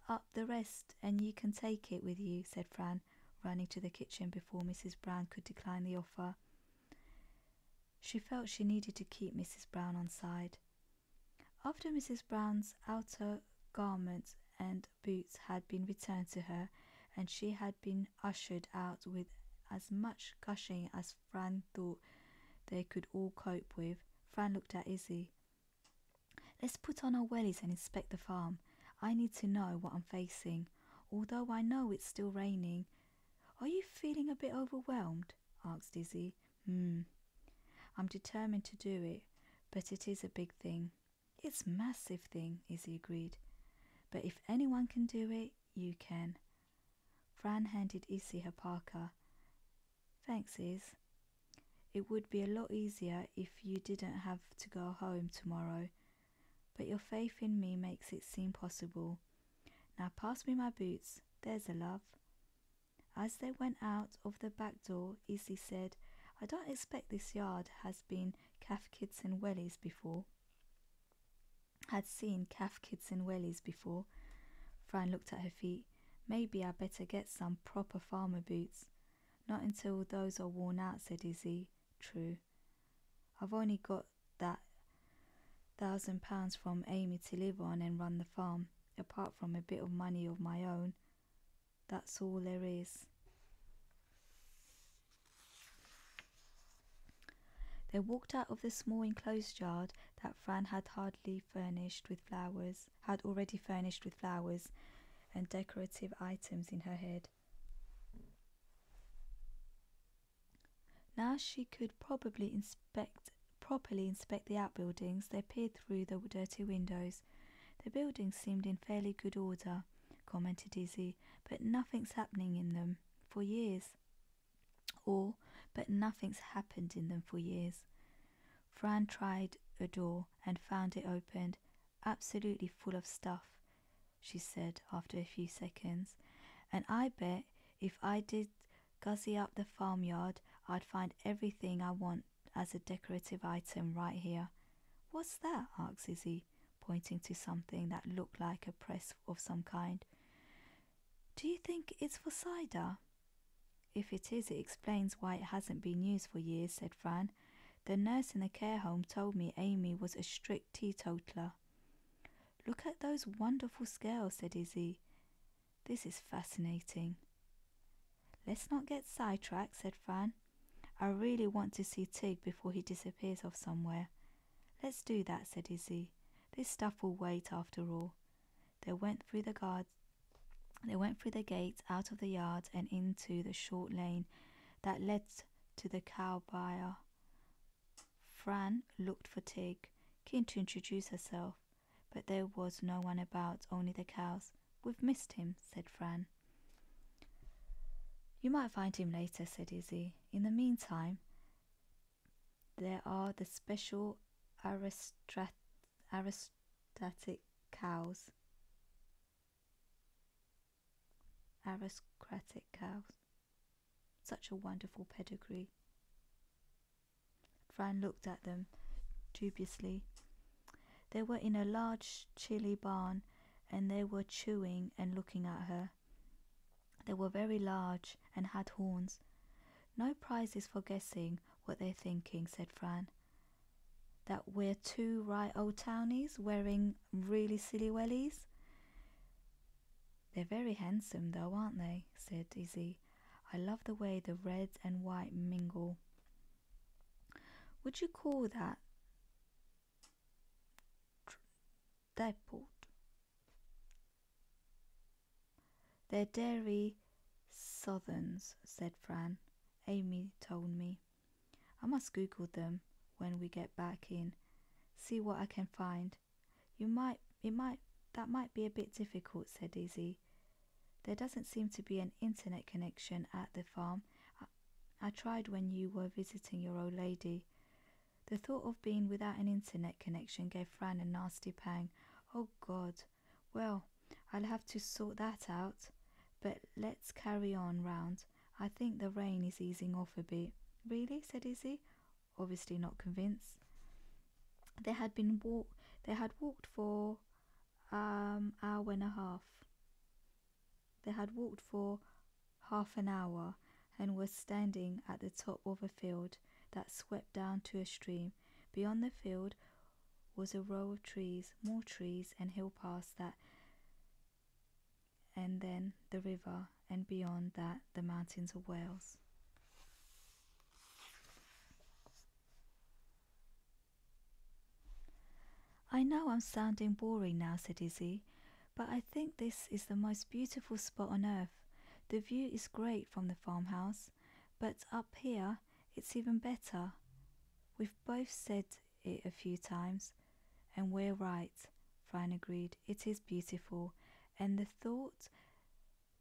up the rest and you can take it with you, said Fran, running to the kitchen before Mrs. Brown could decline the offer. She felt she needed to keep Mrs. Brown on side. After Mrs. Brown's outer garments and boots had been returned to her, and she had been ushered out with as much gushing as Fran thought they could all cope with, Fran looked at Izzy. Let's put on our wellies and inspect the farm. I need to know what I'm facing, although I know it's still raining. Are you feeling a bit overwhelmed? asked Izzy. Mm. I'm determined to do it, but it is a big thing. It's massive thing, Izzy agreed. But if anyone can do it, you can. Fran handed Izzy her parka. Thanks, Iz. It would be a lot easier if you didn't have to go home tomorrow, but your faith in me makes it seem possible. Now pass me my boots. There's a love. As they went out of the back door Izzy said, I don't expect this yard has been calf kids and wellies before. Had seen calf kids and wellies before. Fran looked at her feet. Maybe I better get some proper farmer boots. Not until those are worn out, said Izzy. True. I've only got that thousand pounds from Amy to live on and run the farm apart from a bit of money of my own. That's all there is. They walked out of the small enclosed yard that Fran had hardly furnished with flowers, had already furnished with flowers and decorative items in her head. Now she could probably inspect properly inspect the outbuildings, they peered through the dirty windows. The buildings seemed in fairly good order, commented Izzy, but nothing's happening in them for years. Or, but nothing's happened in them for years. Fran tried a door and found it opened, absolutely full of stuff, she said after a few seconds. And I bet if I did Guzzie up the farmyard, I'd find everything I want as a decorative item right here. What's that? asked Izzy, pointing to something that looked like a press of some kind. Do you think it's for cider? If it is, it explains why it hasn't been used for years, said Fran. The nurse in the care home told me Amy was a strict teetotaler. Look at those wonderful scales, said Izzy. This is fascinating. Let's not get sidetracked, said Fran. I really want to see Tig before he disappears off somewhere. Let's do that, said Izzy. This stuff will wait after all. They went through the guards they went through the gate, out of the yard, and into the short lane that led to the cow buyer. Fran looked for Tig, keen to introduce herself. But there was no one about, only the cows. We've missed him, said Fran. You might find him later, said Izzy. In the meantime, there are the special aristrat- aristocratic cows. Aristocratic cows. Such a wonderful pedigree. Fran looked at them dubiously. They were in a large, chilly barn, and they were chewing and looking at her. They were very large and had horns. No prizes for guessing what they're thinking, said Fran. That we're two right old townies wearing really silly wellies? They're very handsome, though, aren't they? said Izzy. I love the way the reds and white mingle. Would you call that diport? They're dairy southerns, said Fran. Amy told me. I must Google them when we get back in, see what I can find. You might, it might, that might be a bit difficult, said Izzy. There doesn't seem to be an internet connection at the farm. I, tried when you were visiting your old lady. The thought of being without an internet connection gave Fran a nasty pang. Oh God. Well, I'll have to sort that out. But let's carry on round. I think the rain is easing off a bit. Really? said Izzy obviously not convinced. They had been walk. They had walked for um hour and a half. They had walked for half an hour and were standing at the top of a field that swept down to a stream. Beyond the field was a row of trees, more trees, and hill past that, and then the river, and beyond that the mountains of Wales. I know I'm sounding boring now, said Izzy, but I think this is the most beautiful spot on earth. The view is great from the farmhouse, but up here it's even better. We've both said it a few times, and we're right, Fran agreed. It is beautiful, and the thought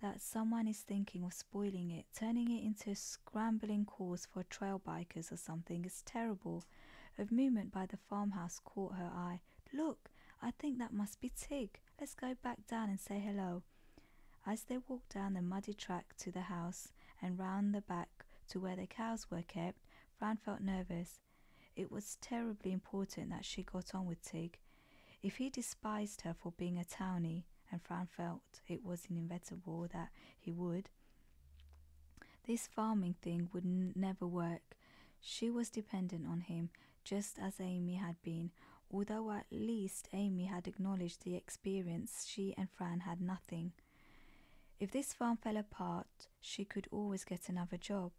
that someone is thinking of spoiling it, turning it into a scrambling course for trail bikers or something is terrible. A movement by the farmhouse caught her eye. Look, I think that must be Tig. Let's go back down and say hello. As they walked down the muddy track to the house and round the back to where the cows were kept, Fran felt nervous. It was terribly important that she got on with Tig. If he despised her for being a townie, and Fran felt it was inevitable that he would, this farming thing would never work. She was dependent on him, just as Amy had been, although at least Amy had acknowledged the experience she and Fran had nothing. If this farm fell apart, she could always get another job.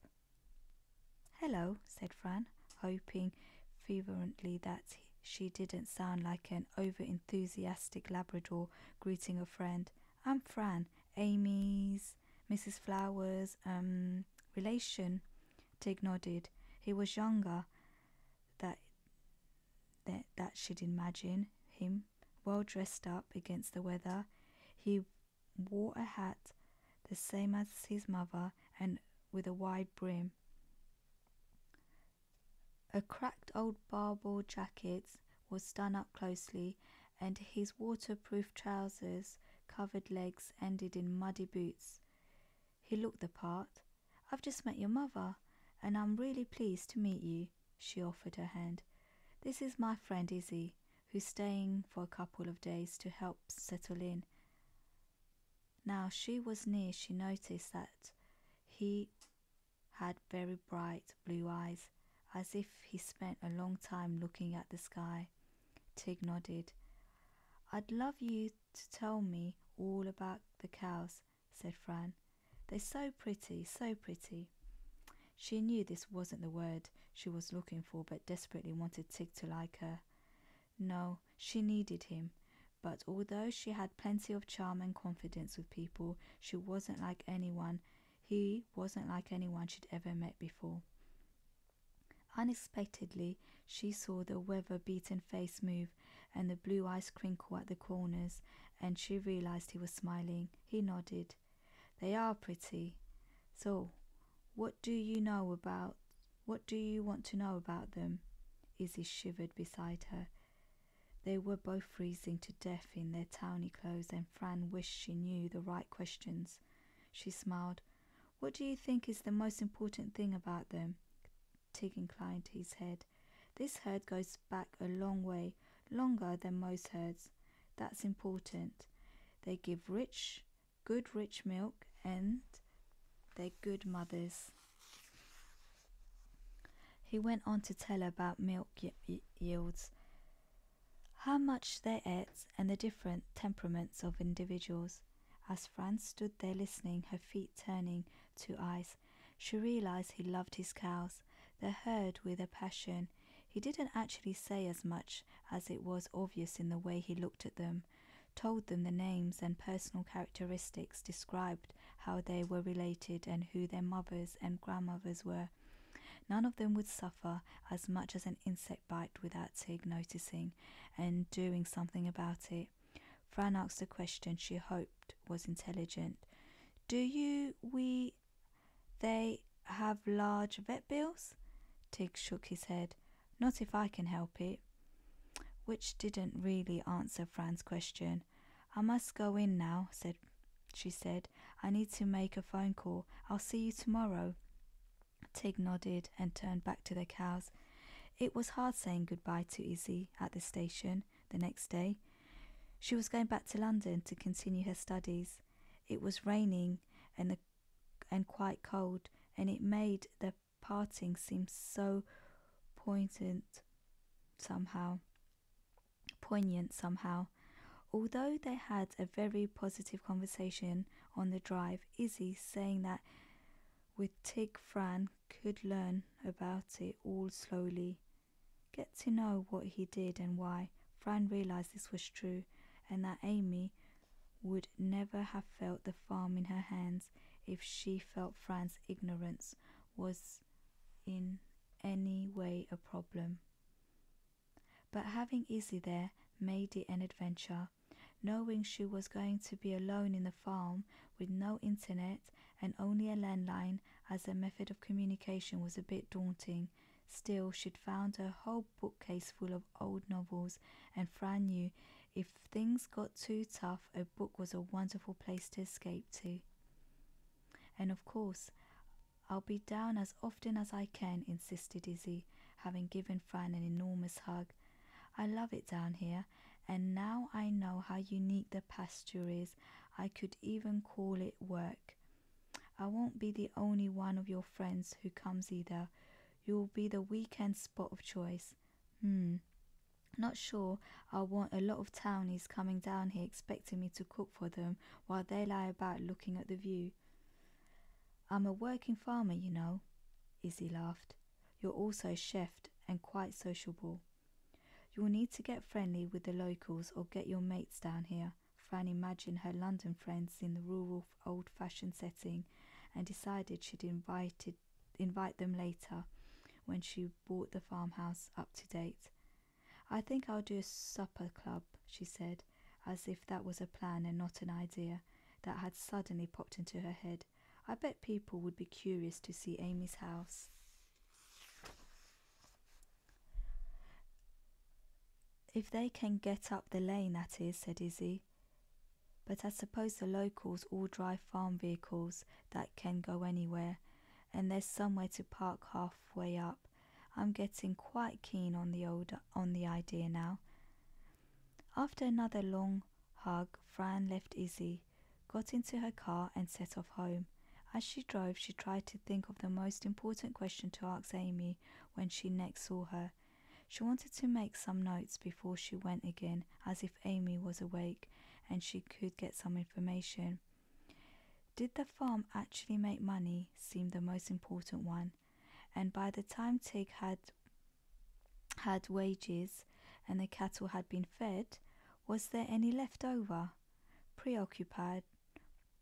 Hello, said Fran, hoping fervently that she didn't sound like an over enthusiastic Labrador greeting a friend. I'm Fran, Amy's, Mrs. Flowers, um, relation. Tig nodded. He was younger that, that, that she'd imagine him, well dressed up against the weather. He wore a hat the same as his mother and with a wide brim. A cracked old barbour jacket was done up closely, and his waterproof trousers covered legs ended in muddy boots. He looked the part. I've just met your mother, and I'm really pleased to meet you, she offered her hand. This is my friend Izzy, who's staying for a couple of days to help settle in. Now she was near she noticed that he had very bright blue eyes, as if he spent a long time looking at the sky. Tig nodded. I'd love you to tell me all about the cows, said Fran. They're so pretty, so pretty. She knew this wasn't the word she was looking for but desperately wanted Tig to like her. No, she needed him. But although she had plenty of charm and confidence with people, she wasn't like anyone. He wasn't like anyone she'd ever met before. Unexpectedly, she saw the weather beaten face move and the blue eyes crinkle at the corners, and she realized he was smiling. He nodded. They are pretty. So, what do you know about what do you want to know about them? Izzy shivered beside her. They were both freezing to death in their towny clothes, and Fran wished she knew the right questions. She smiled. What do you think is the most important thing about them? Tig inclined his head. This herd goes back a long way, longer than most herds. That's important. They give rich, good rich milk and they're good mothers. He went on to tell about milk yields, how much they ate, and the different temperaments of individuals. As Franz stood there listening, her feet turning to ice, she realized he loved his cows, the herd with a passion. He didn't actually say as much as it was obvious in the way he looked at them told them the names and personal characteristics, described how they were related and who their mothers and grandmothers were. None of them would suffer as much as an insect bite without Tig noticing and doing something about it. Fran asked a question she hoped was intelligent. Do you, we, they have large vet bills? Tig shook his head. Not if I can help it. Which didn't really answer Fran's question. I must go in now, said she said. I need to make a phone call. I'll see you tomorrow. Tig nodded and turned back to the cows. It was hard saying goodbye to Izzy at the station the next day. She was going back to London to continue her studies. It was raining and, the, and quite cold, and it made the parting seems so poignant somehow. Poignant somehow. Although they had a very positive conversation on the drive, Izzy saying that with Tig Fran could learn about it all slowly, get to know what he did and why. Fran realized this was true and that Amy would never have felt the farm in her hands if she felt Fran's ignorance was in any way a problem. But having Izzy there made it an adventure. Knowing she was going to be alone in the farm with no internet and only a landline as a method of communication was a bit daunting. Still, she'd found a whole bookcase full of old novels, and Fran knew if things got too tough, a book was a wonderful place to escape to. And of course, I'll be down as often as I can, insisted Izzy, having given Fran an enormous hug. I love it down here, and now I know how unique the pasture is. I could even call it work. I won't be the only one of your friends who comes either. You'll be the weekend spot of choice. Hmm. Not sure I want a lot of townies coming down here expecting me to cook for them while they lie about looking at the view. I'm a working farmer, you know, Izzy laughed. You're also a chef and quite sociable. You'll need to get friendly with the locals or get your mates down here. Fanny imagined her London friends in the rural old fashioned setting and decided she'd invited invite them later when she bought the farmhouse up to date. I think I'll do a supper club, she said, as if that was a plan and not an idea that had suddenly popped into her head. I bet people would be curious to see Amy's house. If they can get up the lane, that is, said Izzy. But I suppose the locals all drive farm vehicles that can go anywhere, and there's somewhere to park halfway up. I'm getting quite keen on the old on the idea now. After another long hug, Fran left Izzy, got into her car and set off home. As she drove, she tried to think of the most important question to ask Amy when she next saw her. She wanted to make some notes before she went again, as if Amy was awake and she could get some information. Did the farm actually make money seemed the most important one, and by the time Tig had had wages and the cattle had been fed, was there any left over? Preoccupied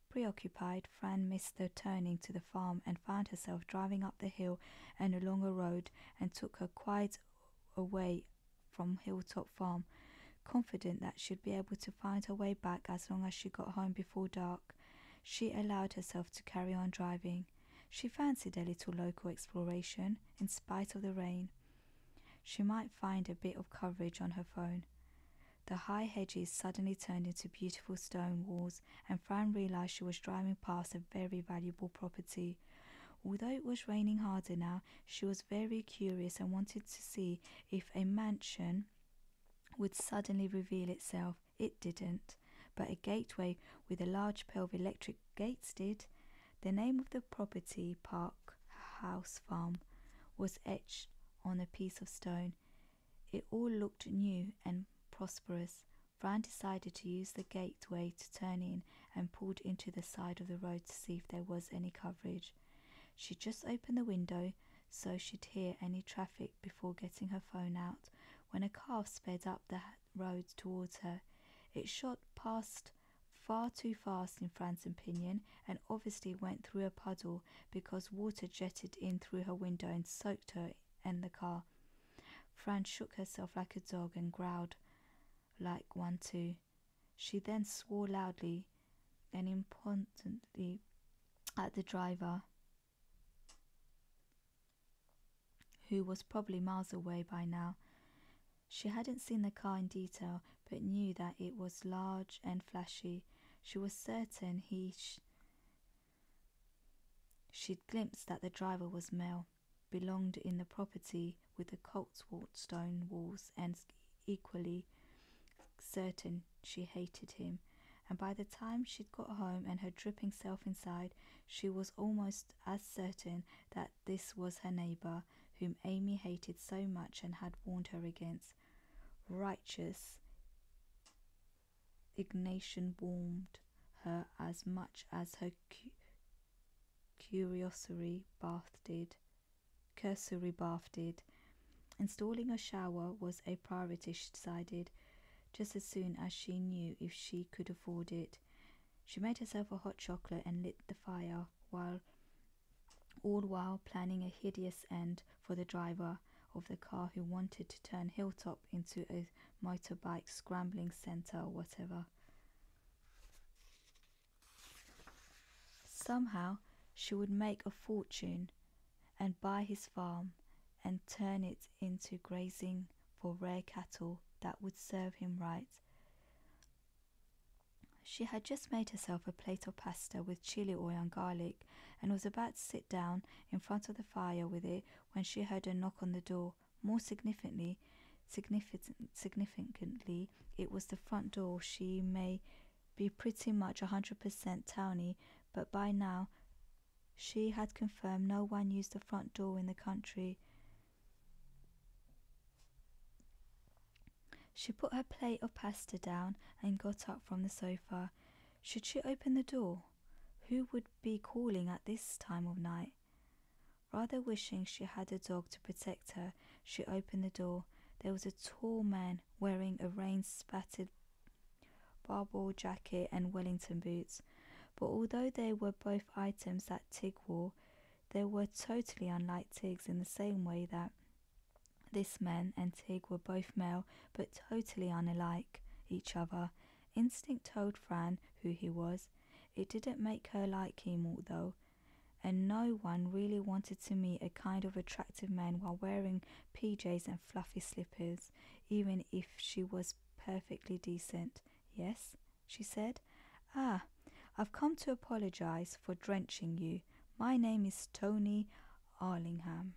Preoccupied, Fran missed the turning to the farm and found herself driving up the hill and along a road and took her quite away from Hilltop Farm, confident that she'd be able to find her way back as long as she got home before dark. She allowed herself to carry on driving. She fancied a little local exploration, in spite of the rain. She might find a bit of coverage on her phone. The high hedges suddenly turned into beautiful stone walls, and Fran realized she was driving past a very valuable property. Although it was raining harder now, she was very curious and wanted to see if a mansion would suddenly reveal itself. It didn't, but a gateway with a large pair of electric gates did. The name of the property, Park House Farm, was etched on a piece of stone. It all looked new and prosperous. Fran decided to use the gateway to turn in and pulled into the side of the road to see if there was any coverage. She just opened the window so she'd hear any traffic before getting her phone out when a car sped up the road towards her. It shot past far too fast in Fran's opinion and obviously went through a puddle because water jetted in through her window and soaked her and the car. Fran shook herself like a dog and growled like one too. She then swore loudly and impotently at the driver, who was probably miles away by now. She hadn't seen the car in detail, but knew that it was large and flashy. She was certain he she'd glimpsed that the driver was male belonged in the property with the Coltswort stone walls and equally certain she hated him. And by the time she'd got home and her dripping self inside, she was almost as certain that this was her neighbour, whom Amy hated so much and had warned her against. Righteous indignation warmed her as much as her Curiosity bathed, did, Cursory Bath did. Installing a shower was a priority, she decided, just as soon as she knew if she could afford it. She made herself a hot chocolate and lit the fire while all while planning a hideous end for the driver of the car who wanted to turn Hilltop into a motorbike scrambling center or whatever. Somehow she would make a fortune and buy his farm and turn it into grazing for rare cattle that would serve him right. She had just made herself a plate of pasta with chili oil and garlic and was about to sit down in front of the fire with it when she heard a knock on the door. More significantly, significantly, it was the front door. She may be pretty much a 100% townie, but by now she had confirmed no one used the front door in the country. She put her plate of pasta down and got up from the sofa. Should she open the door? Who would be calling at this time of night? Rather wishing she had a dog to protect her, she opened the door. There was a tall man wearing a rain spattered barbell jacket and Wellington boots. But although they were both items that Tig wore, they were totally unlike Tig's in the same way that this man and Tig were both male but totally unlike each other. Instinct told Fran who he was, it didn't make her like him, though, and no one really wanted to meet a kind of attractive man while wearing PJs and fluffy slippers, even if she was perfectly decent. Yes, she said. Ah, I've come to apologize for drenching you. My name is Tony Arlingham.